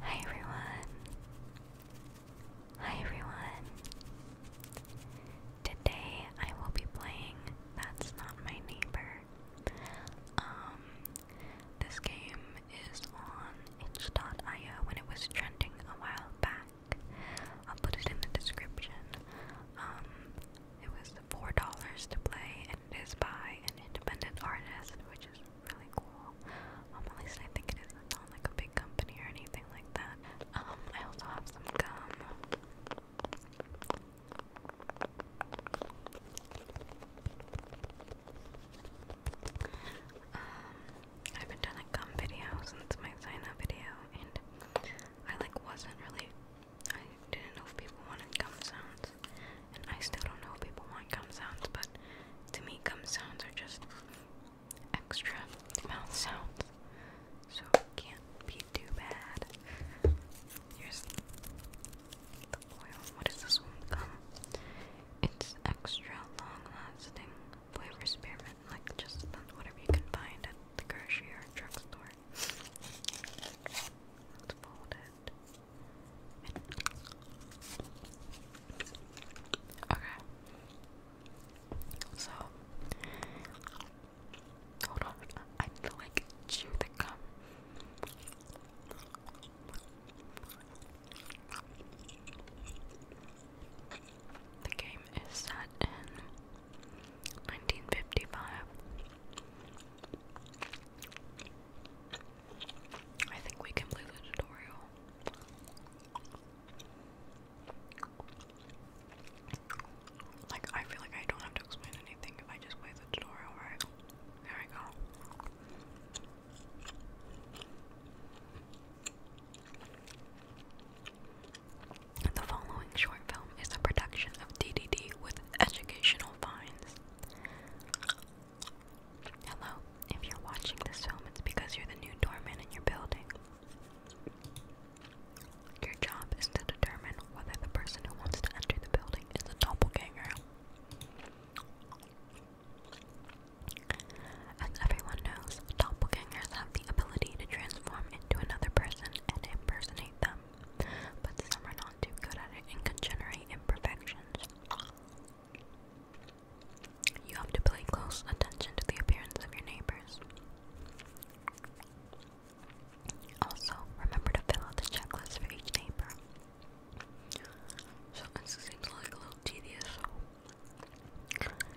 Hi everyone. Hi everyone. Today I will be playing That's Not My Neighbor. Um this game is on itch.io when it was trending a while back. I'll put it in the description. Um it was four dollars to play, and it is by an independent artist, which is really cool. Um, at least I think it isn't like a big company or anything like that. Um, I also have some gum. Um, I haven't done gum video since my sign video, and I like wasn't really I didn't know people wanted gum sounds, and I still don't know if people want gum sounds, but to me, gum sounds are just extra mouth sounds, so it can't be too bad. Here's the oil. What is this one? Gum. It's extra long lasting flavor spearmint, like just whatever you can find at the grocery or drugstore. Let's fold it. Okay. So hold on. I need like chew the gum. The game is set in 1955. I think we can leave the tutorial. Like, I feel like I don't have to explain anything if I just play the tutorial, right? There we go. The following short film is a production of DDD with educational finds. Hello, if you're watching this film, it's because you're the new doorman in your building. Your job is to determine whether the person who wants to enter the building is a doppelganger. As everyone knows, doppelgangers have the ability to transform into another person and impersonate them, but some are not too good at it and can generate imperfections. You have to pay close attention to the appearance of your neighbors. Also, remember to fill out the checklist for each neighbor. So it seems like a little tedious.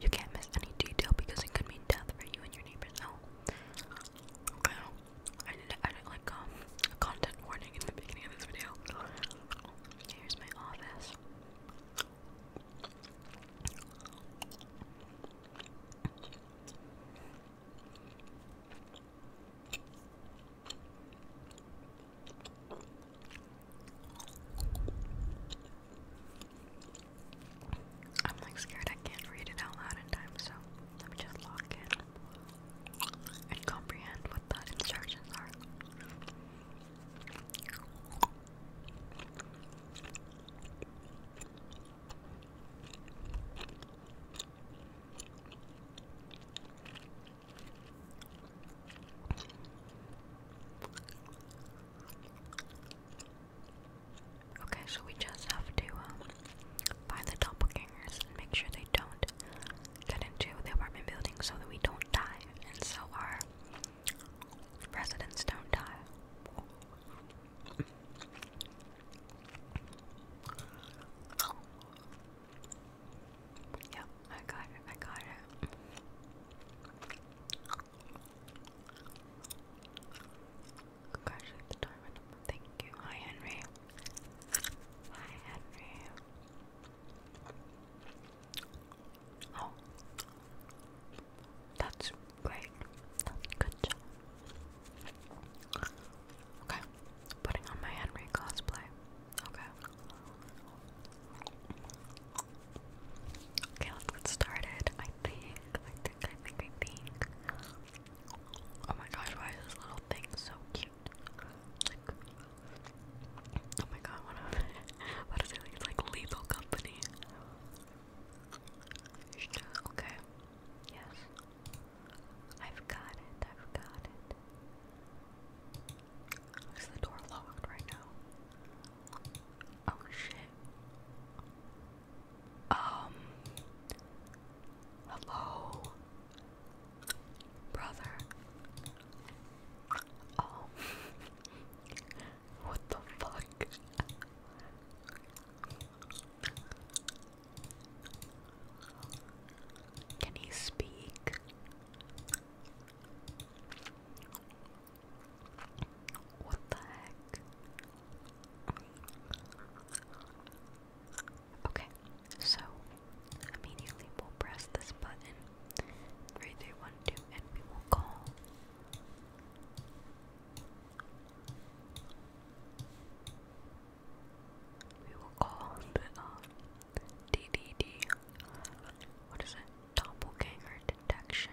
You can't miss any detail because it could mean death for you and your neighbors. Oh, I I didn't, I like um, a content warning in the beginning of this video. Here's my office. I'm like scared I can't read it out loud in time, so let me just lock in and comprehend what the instructions are. Okay, so we just have to um, find the doppelgangers and make sure they don't get into the apartment building so that we don't die and so our residents don't die. Yep, I got it, I got it. Congratulate the diamond. Thank you. Hi, Henry. Hi, Henry. Oh, that's great. That's good job. Okay, putting on my Henry cosplay. Okay. Okay, let's get started. I think, I think, I think. Oh my gosh, why is this little thing so cute? oh my god, what, a, what is it? It's like lethal company. Okay, yes. I've got it, I've got it. Is the door locked right now? Oh shit. Um. Hello, brother. Oh. what the fuck? Can he speak? What the heck? Okay, so immediately we'll press this button. 3, and we will call. We will call the DDD. Um, what is it? Doppelganger detection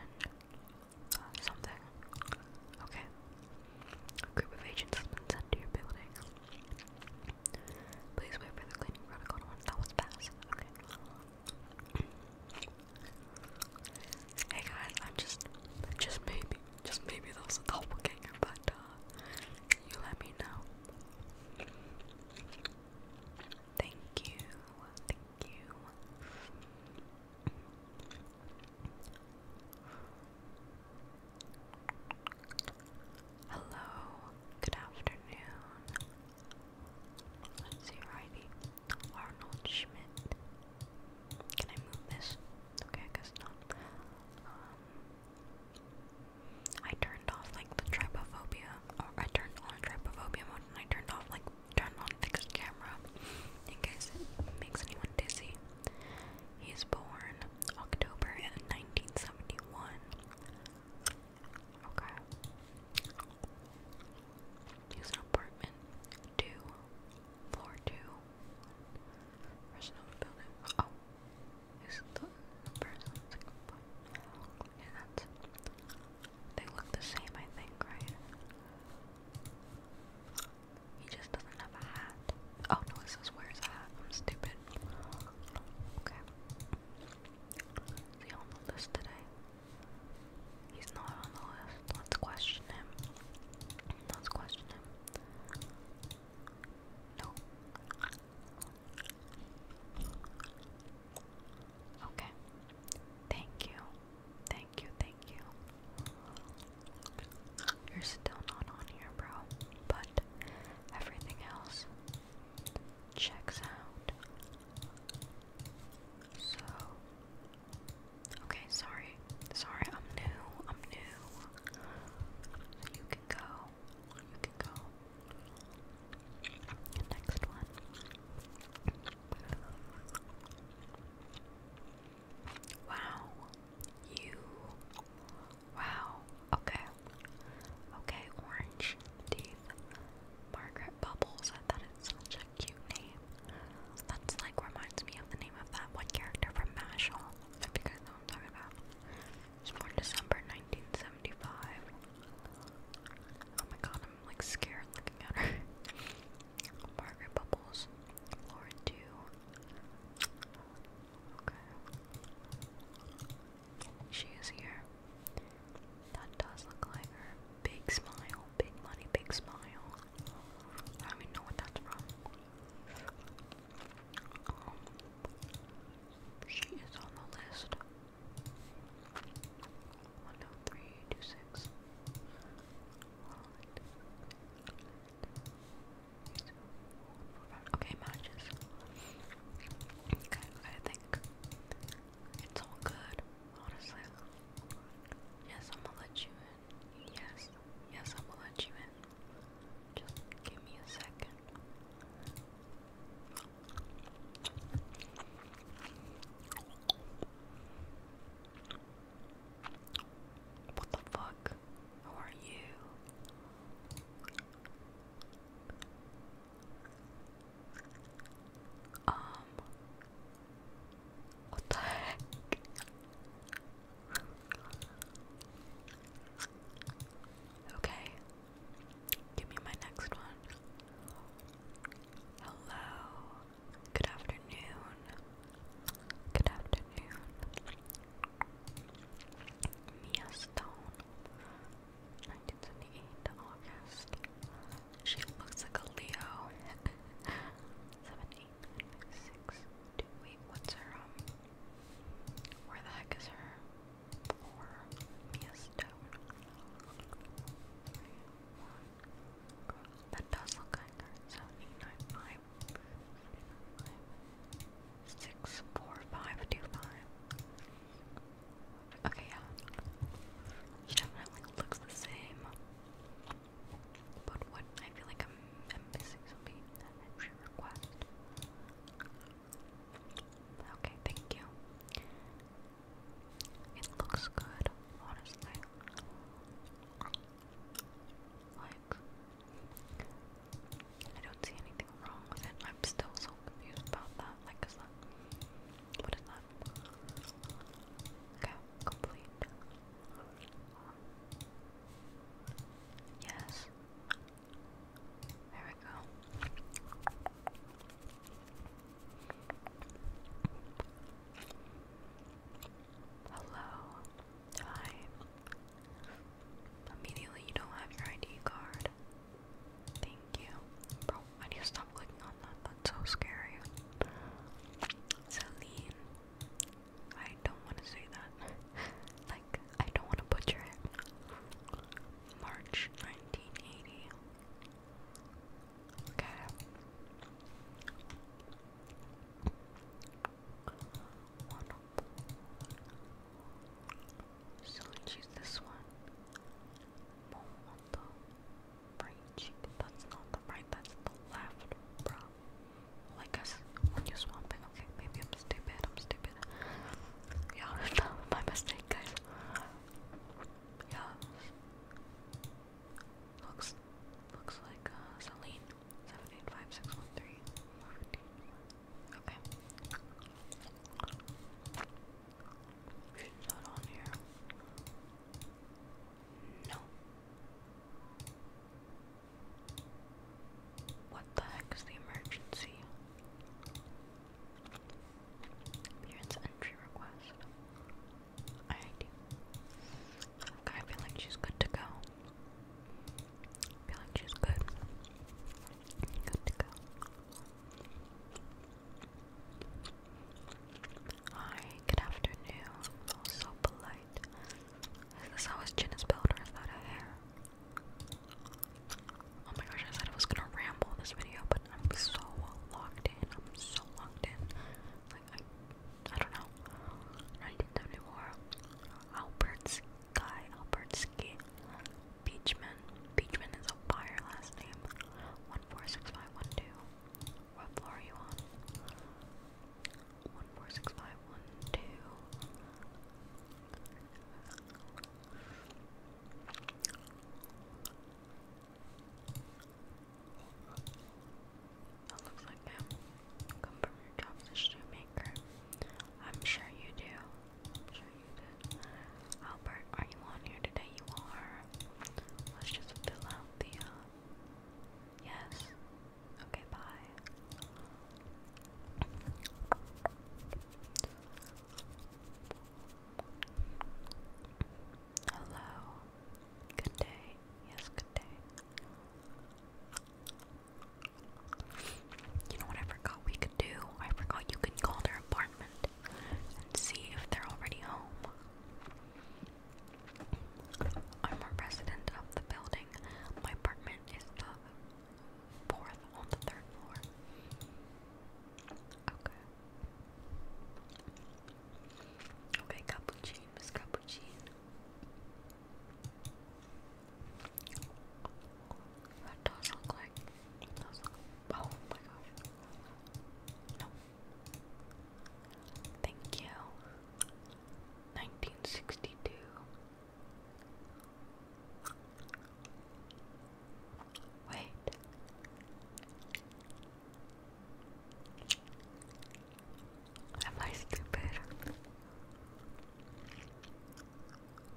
something. Okay. group of agents has been sent to your building. Please wait for the cleaning protocol That was fast. Okay. hey guys, I'm just, just maybe, just maybe that was a doppelganger, but uh, you let me know. Thank you, thank you. Hello, good afternoon. Let's see, righty. Arnold Schmidt. Can I move this? Okay, I guess not. Um, I turned off like the trypophobia, or I turned on trypophobia mode and I turned off like turn on fixed camera in case makes anyone dizzy. He is born October 1971. Okay. He's an apartment two, floor two. There's building. Oh, he's the person. It's like, yeah, that's they look the same, I think, right? He just doesn't have a hat. Oh no, it says wears a hat. I'm stupid. Okay. he on the list today? He's not on the list. Let's question him. Let's question him. No. Okay. Thank you. Thank you, thank you. You're still not on here, bro. But everything else checks out. So Okay, sorry. Sorry, I'm new. I'm new. You can go. You can go. Next one. Wow. You. Wow. Okay. Okay, orange teeth. Margaret Bubbles. I thought it's such a cute name. That's like reminds me of the name of that one character from Mashal. If you guys know what I'm talking about. It's born December 1975. Oh my god, I'm like scared looking at her. Margaret Bubbles, Lauren Dew. Okay. She is here. That does look like her. Big smile, big money, big smile. I do know what that's from. Um, she is on the list. One, two, three, two, six. Okay, matches. Okay, I think it's all good, honestly. Yes, I'm gonna let you in. Yes, yes, I'm gonna let you in. Just give me a second. What the fuck? Who are you? Um. What the heck? Okay. Give me my next one. Hello. Good afternoon. Good afternoon. Mia Stone, 1978 August. She looks like a Leo. Seven, eight, nine, six, two. what's her um, Where the heck is her? Or Mia Stone? That does look like so Okay, yeah. She definitely looks the same. But what I feel like i missing something that request. Okay, thank you. It looks good, honestly. Like, I don't see anything wrong with it. I'm still so confused about that. Like, What is that? Okay, complete. yes. There we go. Hello. Hi. Immediately, you don't have your ID card. Thank you. Bro, I need to stop clicking on that. That's so scary. Celine. I don't want to say that. like, I don't want to butcher it. March 1980. Okay. So let's use this one. That's not the right, that's the left, bro. Well, I when you swap okay, maybe I'm stupid, I'm stupid. Yeah, my mistake, guys. Yeah. Looks looks like uh Celine. Seven eight five six one three. Okay. She's not on here. No. What the heck is the emergency? Appearance entry request. Alright. I feel like she's good to go. feel like she's good. Good to go. Hi, good afternoon. so polite. Is this how his chin is built or is that a hair? Oh my gosh, I said I was gonna ramble this video, but I'm so locked in. I'm so locked in like I, I don't know, 1974, Albert's guy, Albertski, Beachman, Beachman is a buyer last name, 146512, what floor are you on? 146512, that looks like them. Come from your job as a shoemaker. I'm sure you do. I'm sure you did. Albert, are you on here today? You are. Let's just fill out the, uh, yes. Okay, bye. Hello. Good day. Yes, good day. You know what I forgot we could do? I forgot you could call their apartment and see if they're already home. I'm a resident of the building. My apartment is the fourth on the third floor. Okay. Okay, cappuccino, Cappuccino. That does look like. Oh my gosh. No. Thank you. 1962. Wait. Am I stupid?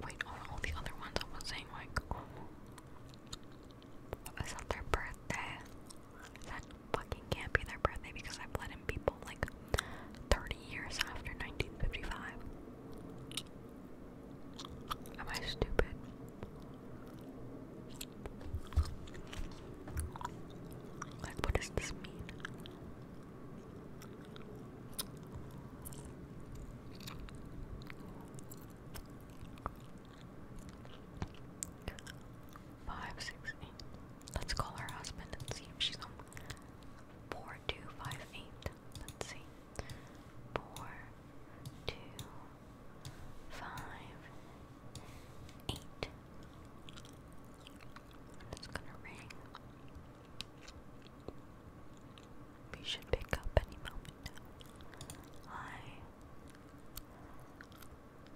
Wait, all, all the other ones I was saying, like, oh, is that their birthday? That fucking can't be their birthday because I've let people like 30 years after 1955. Am I stupid? Like, what does this mean? Five, six, eight. Let's call her husband and see if she's home. Four, two, five, eight. Let's see. Four, two, five, eight. it's gonna ring. We should pick up any moment. Hi.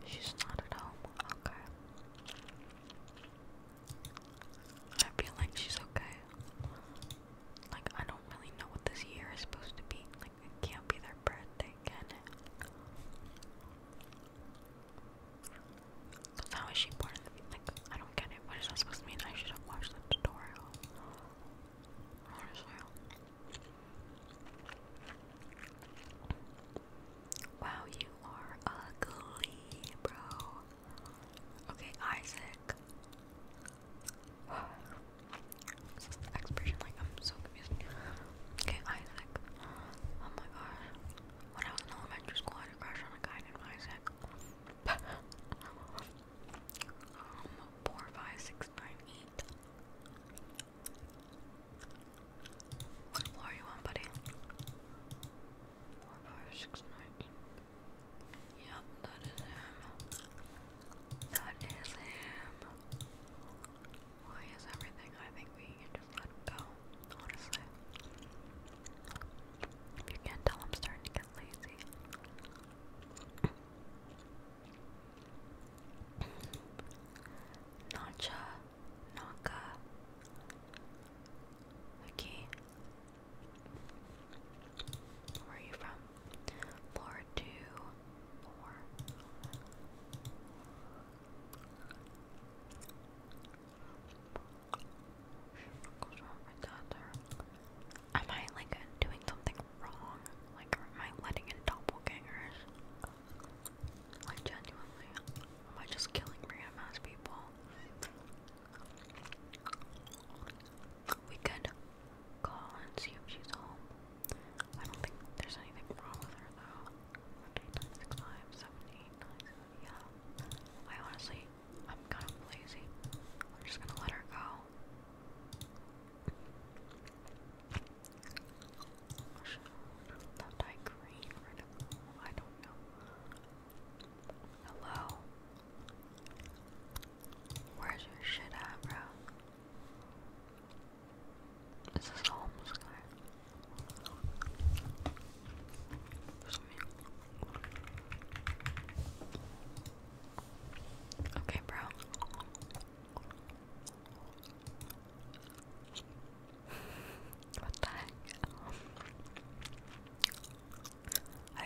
She's not at home. Okay. I feel like she's okay. Like, I don't really know what this year is supposed to be it can't be their birthday, can it? Because how is she born Like, I don't get it. What is that supposed to mean? I should have watched the tutorial. Wow, you are ugly, bro. Okay, Isaac. It's just the expression, like, I'm so confused. Okay, Isaac. Oh my gosh. When I was in elementary school, I had a crush on a guy named Isaac. 45698. What floor are you on, buddy? 45698. Yep, that is him. That is him. Well, he everything. I think we can just let him go, honestly. If you can't tell, I'm starting to get lazy. Nacha, Naka, Vicky. Where are you from? Floor two, Am I like doing something wrong? Like, am I letting in doppelgangers? Like, genuinely, am I just killing random ass people? We could call and see if she's home. I don't think there's anything wrong with her though. 1, 2, 3, 6, yeah. I honestly, I'm kind of lazy. I'm just gonna let her go. That dye green right up. I don't know. Hello. Where's your shit at, bro? This is homeless guy. Okay, bro. what the heck? I, uh, oh, I'm a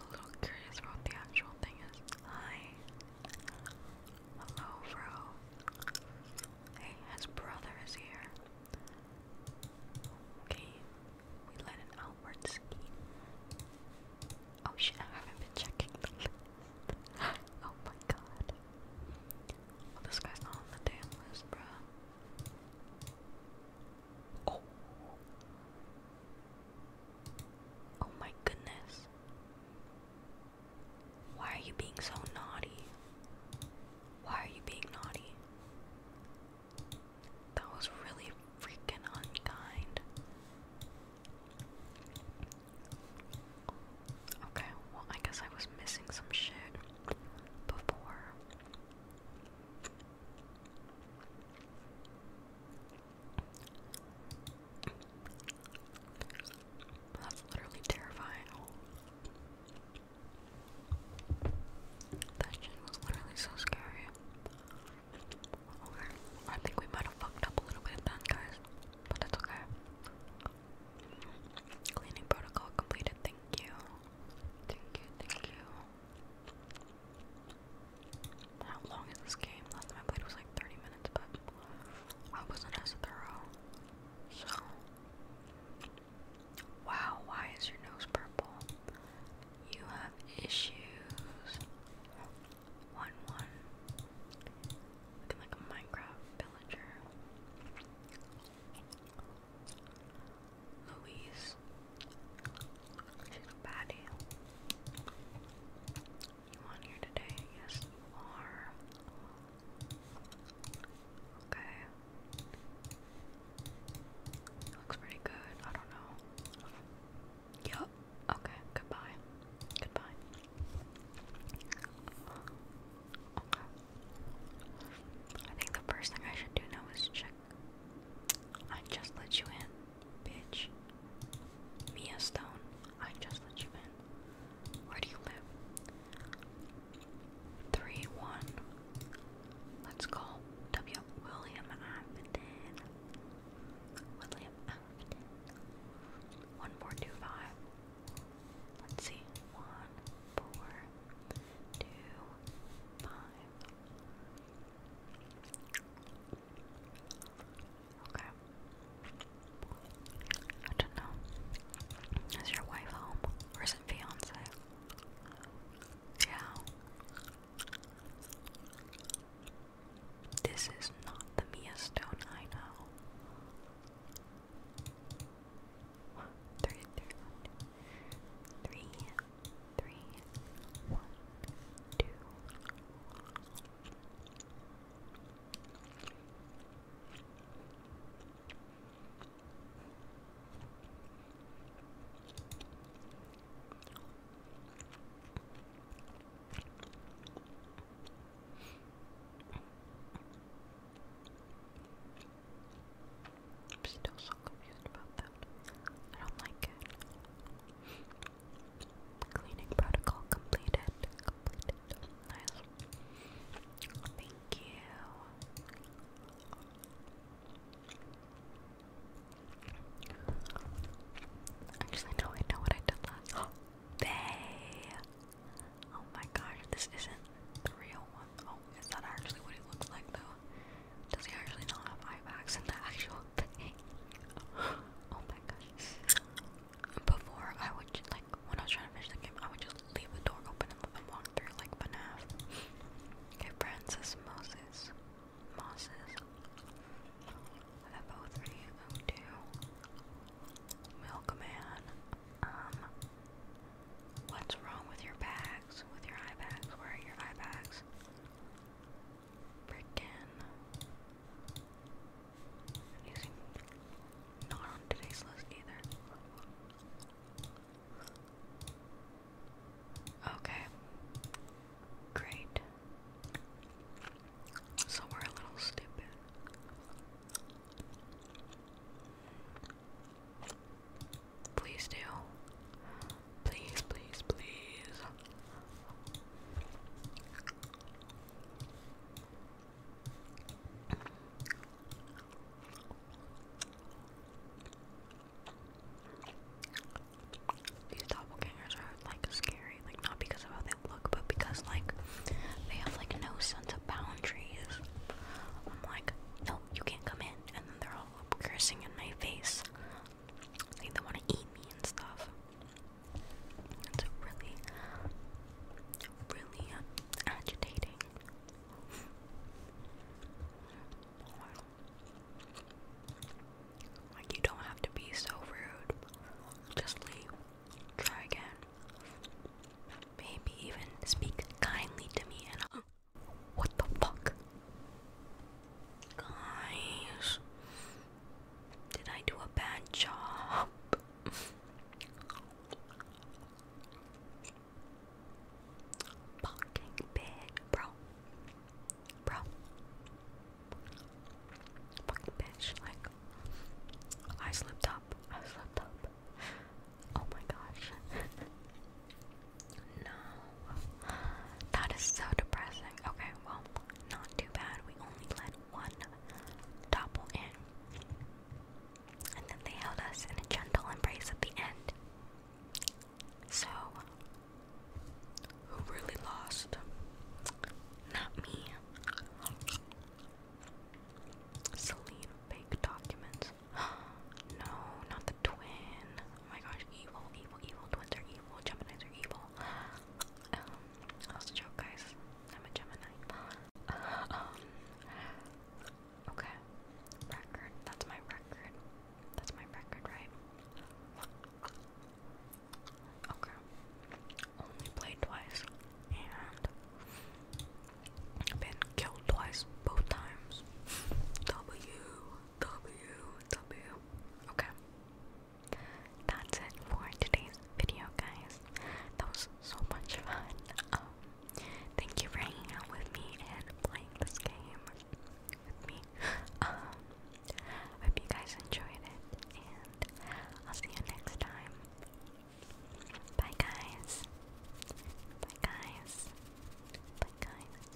little curious about the actual thing is. Hi, Hello, bro. Hey, his brother is here. Okay, we let an outward Oh shit, I haven't been checking the list. oh my god. Oh, this guy's on the damn list, bruh. Oh. Oh my goodness. Why are you being so naughty? Why are you being naughty? That was really freaking unkind. Okay, well, I guess I was missing some shit before. That's literally terrifying. That shit was literally so scary. Okay, I think we might have fucked up a little bit then, guys, but that's okay. Cleaning protocol completed. Thank you. Thank you. Thank you. How long is this game? Last time I played was like 30 minutes, but I wasn't as thorough. So. Wow, why is your nose purple? You have issues. One, one. Looking like a Minecraft villager. Louise. She's a baddie. You on here today? Yes, you are. Okay. looks pretty good. I don't know. Yup. Okay. Goodbye. Goodbye. Okay. I think the first thing I should do now is check. I just let you in. Bitch. Mia Stone, I just let you in. Where do you live? 3 1. Let's call W. William 1425. Let's see. 1, Okay. I don't know. Is your wife home? Or is it fiance? Yeah. This is not the Mia Stone I know. Three, three, one, two, three, three, one, two, I'm still so confused about that. I don't like it. Cleaning protocol completed. Completed. Nice. Thank you. Actually, no, I know what I did last. They. Oh my gosh, this isn't the real one. Oh, is that actually what it looks like though? Does he actually not have eye bags in the actual Oh Before I would just, like when I was trying to finish the game, I would just leave the door open and walk through like FNAF. Okay, Francis Moses. Moses. FO302. Milkman. Um What's wrong with your bags? With your eye bags? Where are your eye bags? Pretend. i not on today's list either. Okay. Great. So we're a little stupid. Please do. Please, please, please. These doppelgangers are like scary, like not because of how they look, but because like they have like no sense of boundaries. I'm like, no, you can't come in, and they're all cursing in my face. I Like they want to eat me and stuff. It's really, really agitating. Like you don't have to be so rude. Just leave. Try again. Maybe even speak kindly to me and. What the fuck? Guys, did I do a bad job? Fucking big, bro. Bro. Fucking bitch, like, I slipped up. I slipped up. Oh my gosh. no. That is so depressing. Okay, well, not too bad. We only let one topple in. And then they held us in a gentle embrace at the end. So, who really lost? Not me. Celine, fake documents. no, not the twin. Oh my gosh, evil, evil, evil. Twins are evil. Geminis are evil. Um, a joke, guys. I'm a Gemini. um, okay. Record. That's my record. That's my record, right? Okay. Only played twice and been killed twice, both times. W W W. Okay that's it for today's video, guys. That was so much fun. Um, thank you for hanging out with me and playing this game with me. Um, hope you guys enjoyed it, and I'll see you next time. Bye, guys. Bye, guys. Bye, guys.